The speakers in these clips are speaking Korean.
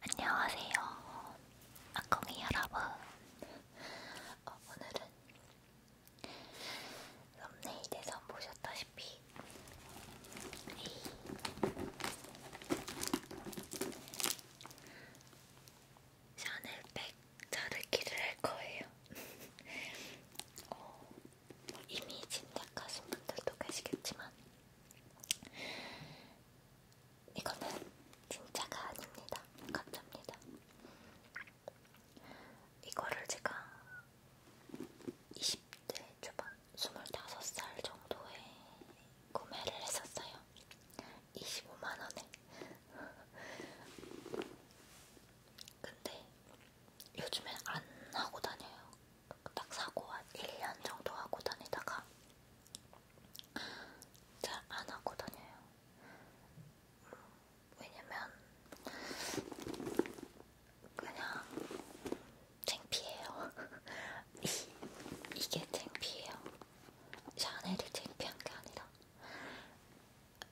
안녕하세요, 악공이 여러분. 어, 오늘은 썸네일에서 보셨다시피 이 샤넬백 자르기를 할 거예요. 어, 이미 짐작하신 분들도 계시겠지만 이거는 진짜가 아닙니다. 가짜입니다. 이거를 제가 20대 초반 25살 정도에 구매를 했었어요. 25만원에. 근데 요즘엔 안 하고 다녀요. 딱 사고 한 1년 정도 하고 다니다가 잘안 하고 다녀요. 왜냐면 그냥 창피해요. 이게 창피해요. 샤넬이 창피한 게 아니라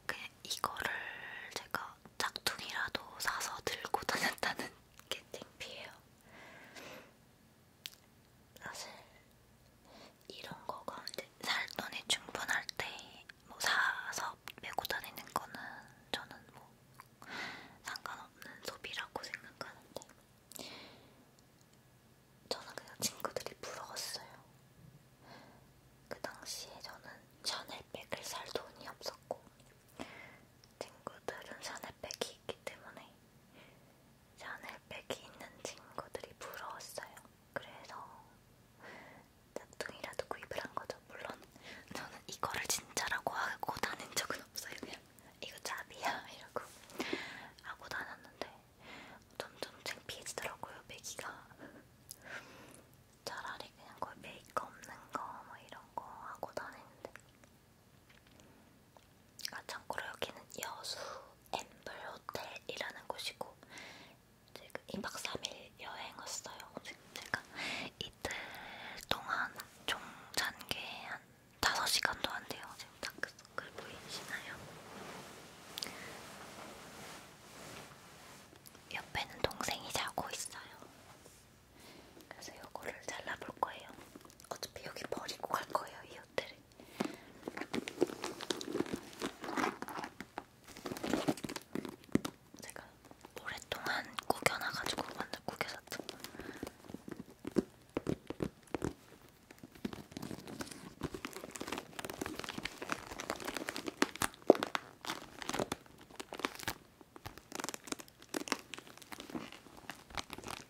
그냥 이거를 제가 짝퉁이라도 사서 들고 다녔다는 게 창피해요. 사실 이런 거가 이제 살 돈이 충분할 때 뭐 사서 메고 다니는 거는 저는 뭐 상관없는 소비라고 생각하는데 저는 그냥 친구들이 부러웠어요. 그 당시에 저는 샤넬백을 살 돈이 없었고 친구들은 샤넬백이 있기 때문에 샤넬백이 있는 친구들이 부러웠어요. 그래서 짝퉁이라도 구입을 한 거죠. 물론 저는 이거를 진짜라고 하고 다닌 적은 없어요. 그냥 이거 짭이야 이러고 하고 다녔는데 점점 창피해지더라고요. 메기가 차라리 그냥 거의 메이크 없는 거 뭐 이런 거 하고 다니는데 아 참고로 여기는 여수 앰블 호텔이라는 곳이고 제가 2박 그 3일 여행 왔어요. 제가 이틀 동안 총 잔게 한 5시간도 안 돼요. 지금 다크서클 보이시나요? 그, 그 옆에는 동생이 자고 있어요. 그래서 요거를 잘라볼 거예요. 어차피 여기 버리고 갈 거예요. 이 호텔에. 제가 오랫동안 구겨놔가지고 완전 구겨졌죠.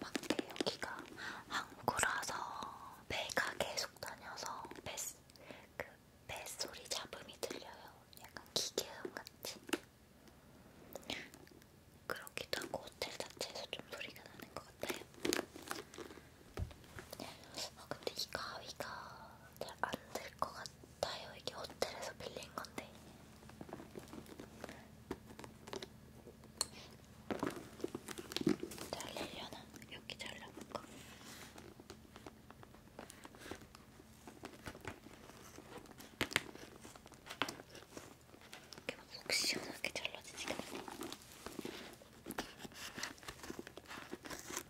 밖에 여기가 항구라서 배가 계속 다녀서 배스, 그 뱃소리 잡음이 들려요. 약간 기계음 같은. 그렇기도 하고 호텔 자체에서 좀 소리가 나는 것 같아요. 아 근데 이 가위가 안될것 같아요. 이게 호텔에서 빌린 건데. 잘리려나? 여기 잘라볼까? 이렇게 막속 시원하게 잘라지지가 않네.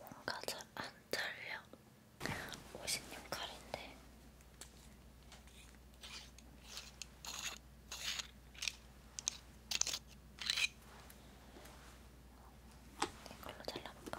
뭔가 잘안 잘려. 56칼인데. 이걸로 잘라볼까?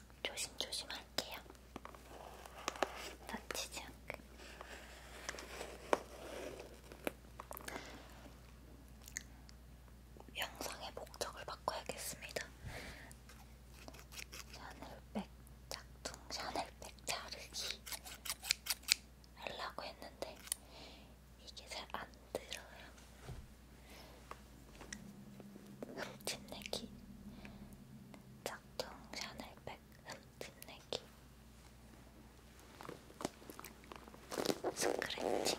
조심조심 할게요. 다치지 않게. 영상의 목적을 바꿔야겠습니다. 샤넬백 짝퉁 샤넬백 자르기 하려고 했는데 이게 잘안 들어요. 흠집내기 자, 짝퉁 샤넬백 흠집내기 스크래치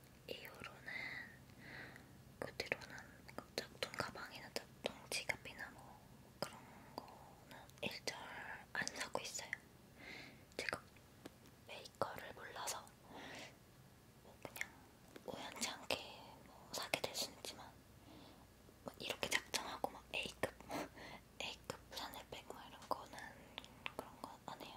이후로는 그 뒤로는 그 짝퉁 가방이나 짝퉁 지갑이나 뭐 그런 거는 일절 안 사고 있어요. 제가 메이커를 몰라서 뭐 그냥 우연치 않게 뭐 사게 될 수는 있지만 막 뭐 이렇게 작정하고 막 A급, A급 샤넬백 뭐 이런 거는 그런 건안 해요.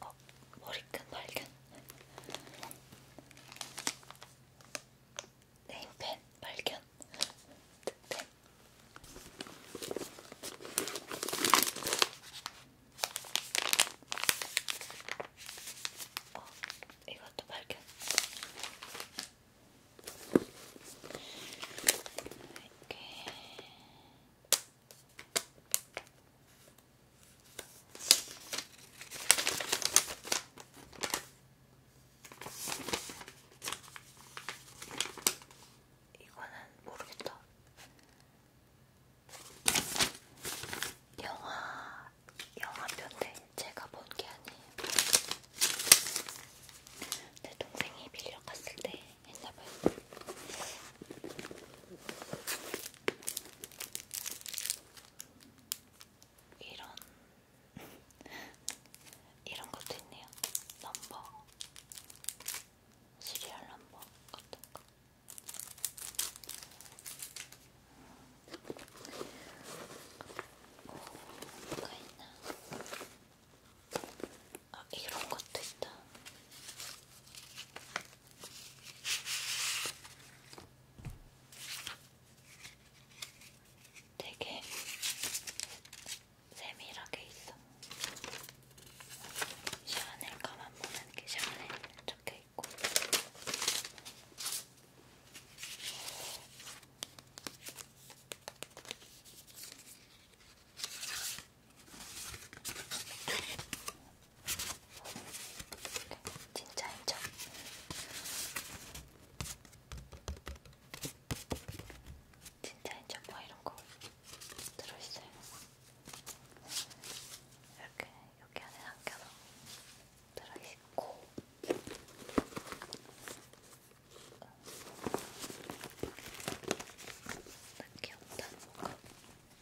어, 머리끈 발견. 네임펜 발견. 득템. 어, 이것도 발견. 이렇게. 이거는 모르겠다. 영화, 영화 편데 제가 본 게 아니에요. 내 동생이 빌려 갔을 때 했나봐요. 이런 이런 것도 있네요. 넘버 시리얼 넘버 같은 거. 오, 어, 뭐가 있나? 아, 이런 것도 있다. 되게 세밀하게 있어. 샤넬 가만 보면 이렇게 샤넬 적혀 있고. 진짜 인정. 진짜 인정 뭐 이런 거 들어있어요. 이렇게 여기 안에 담겨서 들어있고. 어. 아, 귀엽다 뭔가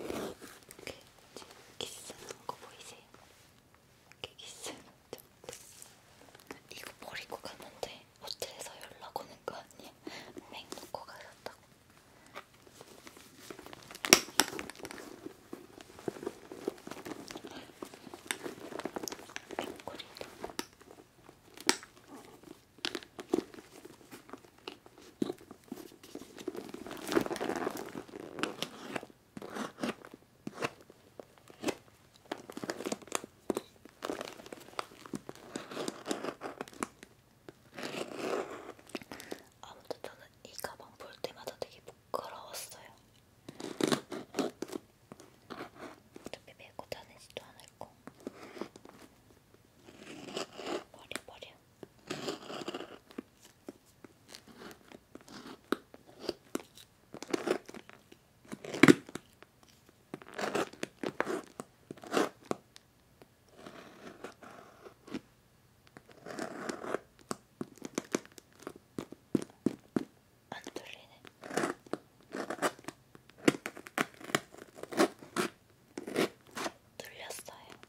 이렇게 키스하는 거 보이세요? 이렇게 키스하는 거 이거 버리고 갔는데 호텔에서 연락 오는 거 아니야? 맥 놓고 가셨다고 앵꼬리도 아무튼 저는 이 가방 볼 때마다 되게 부끄러웠어요. 어차피 메고 다니지도 않을 거. 버려 버려. 안 돌리네. 눌렸어요.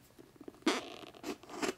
그들그들 돌렸어요.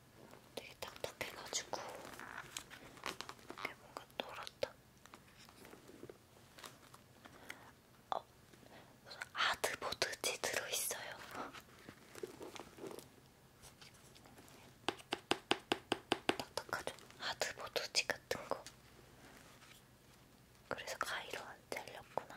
되게 딱딱해가지고 이게 뭔가 노랗다. 어, 무슨 아드보드지 들어있어요. 딱딱하죠? 아드보드지 같은 거. 그래서 가위로 안 잘렸구나.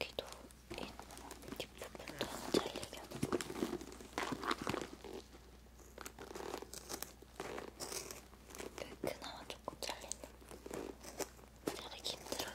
여기도 뒷부분도 안 잘리게 그 그나마 조금 잘리네 자르기 힘들어요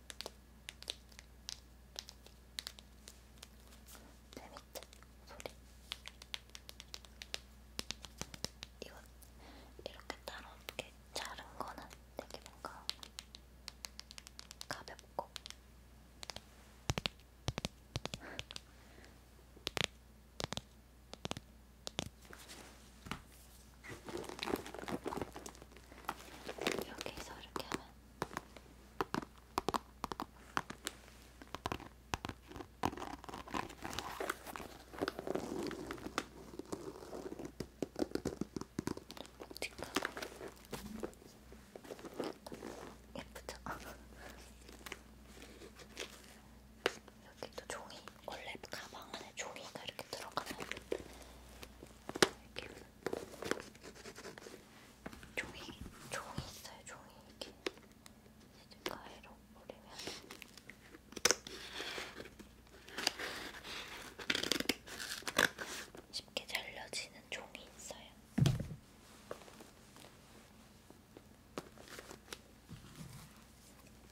재밌지? 소리. 이건 이렇게 따로 이렇게 자른 거는 되게 뭔가 가볍고 여기서 이렇게 하면 예쁘죠? 여기도 종이 원래 가방 안에 종이가 이렇게 들어가면 이렇게 종이 종이 있어요. 종이 이렇게 가위로 뿌리면 쉽게 잘려지는 종이 있어요.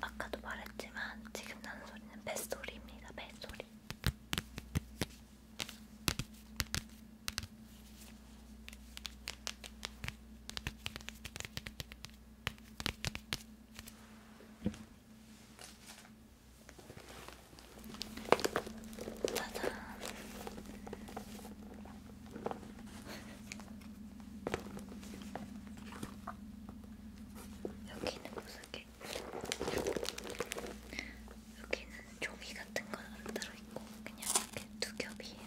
아까도 말했지만 지금 나는 소리는 뱃소리입니다. 뱃소리. 짜잔. 여기는 무슨 게? 여기는 종이 같은 건안 들어있고 그냥 이렇게 두 겹이에요.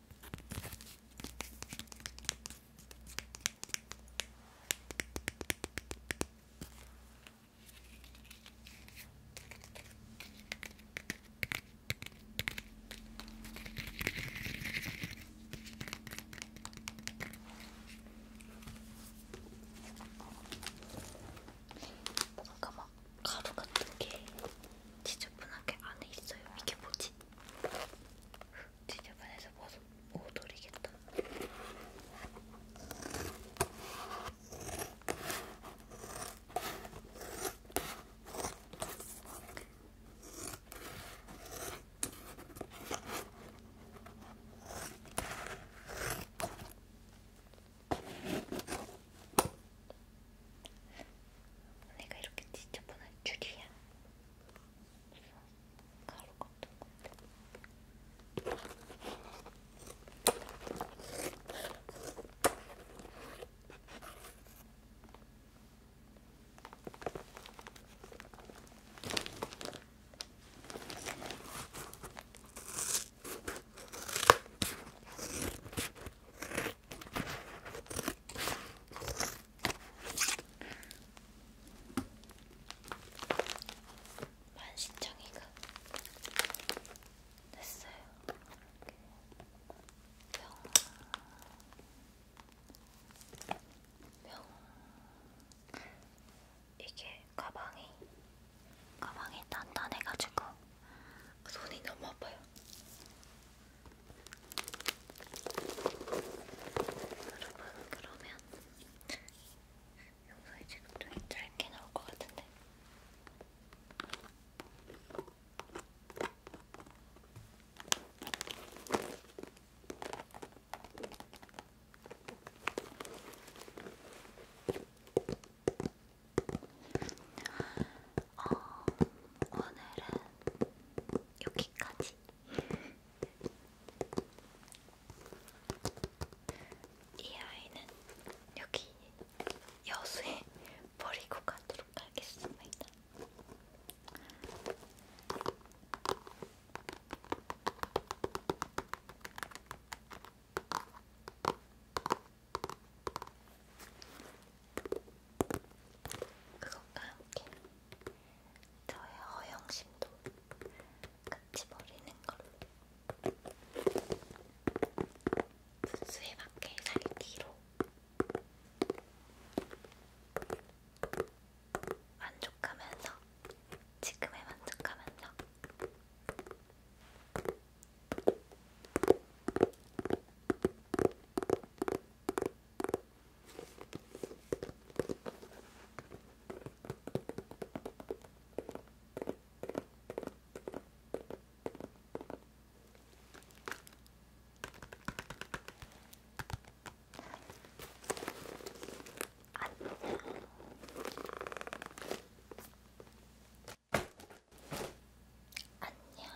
뭔가 막 가루 같은 게 지저분하게 안에 있어요. 이게 뭐지? 지저분해서 못, 못 돌리겠다. 내가 이렇게 지저분한 줄이야. 가루 같은 건데. 만신창이가 됐어요. 명, 명. 이게 가방이 가방이 단단해가지고 손이 너무 아파요. 여러분 그러면 영상이 지금 좀 짧게 나올 것 같은데 어, 오늘은 여기까지. 이 아이는 여기 여수에 버리고 가도록 하겠습니다. 그것과 함께 저의 허영심도 같이 버리는 걸로 분수에 맞게 살기로 만족하면서 지금에 만족하면서 안녕. 안녕.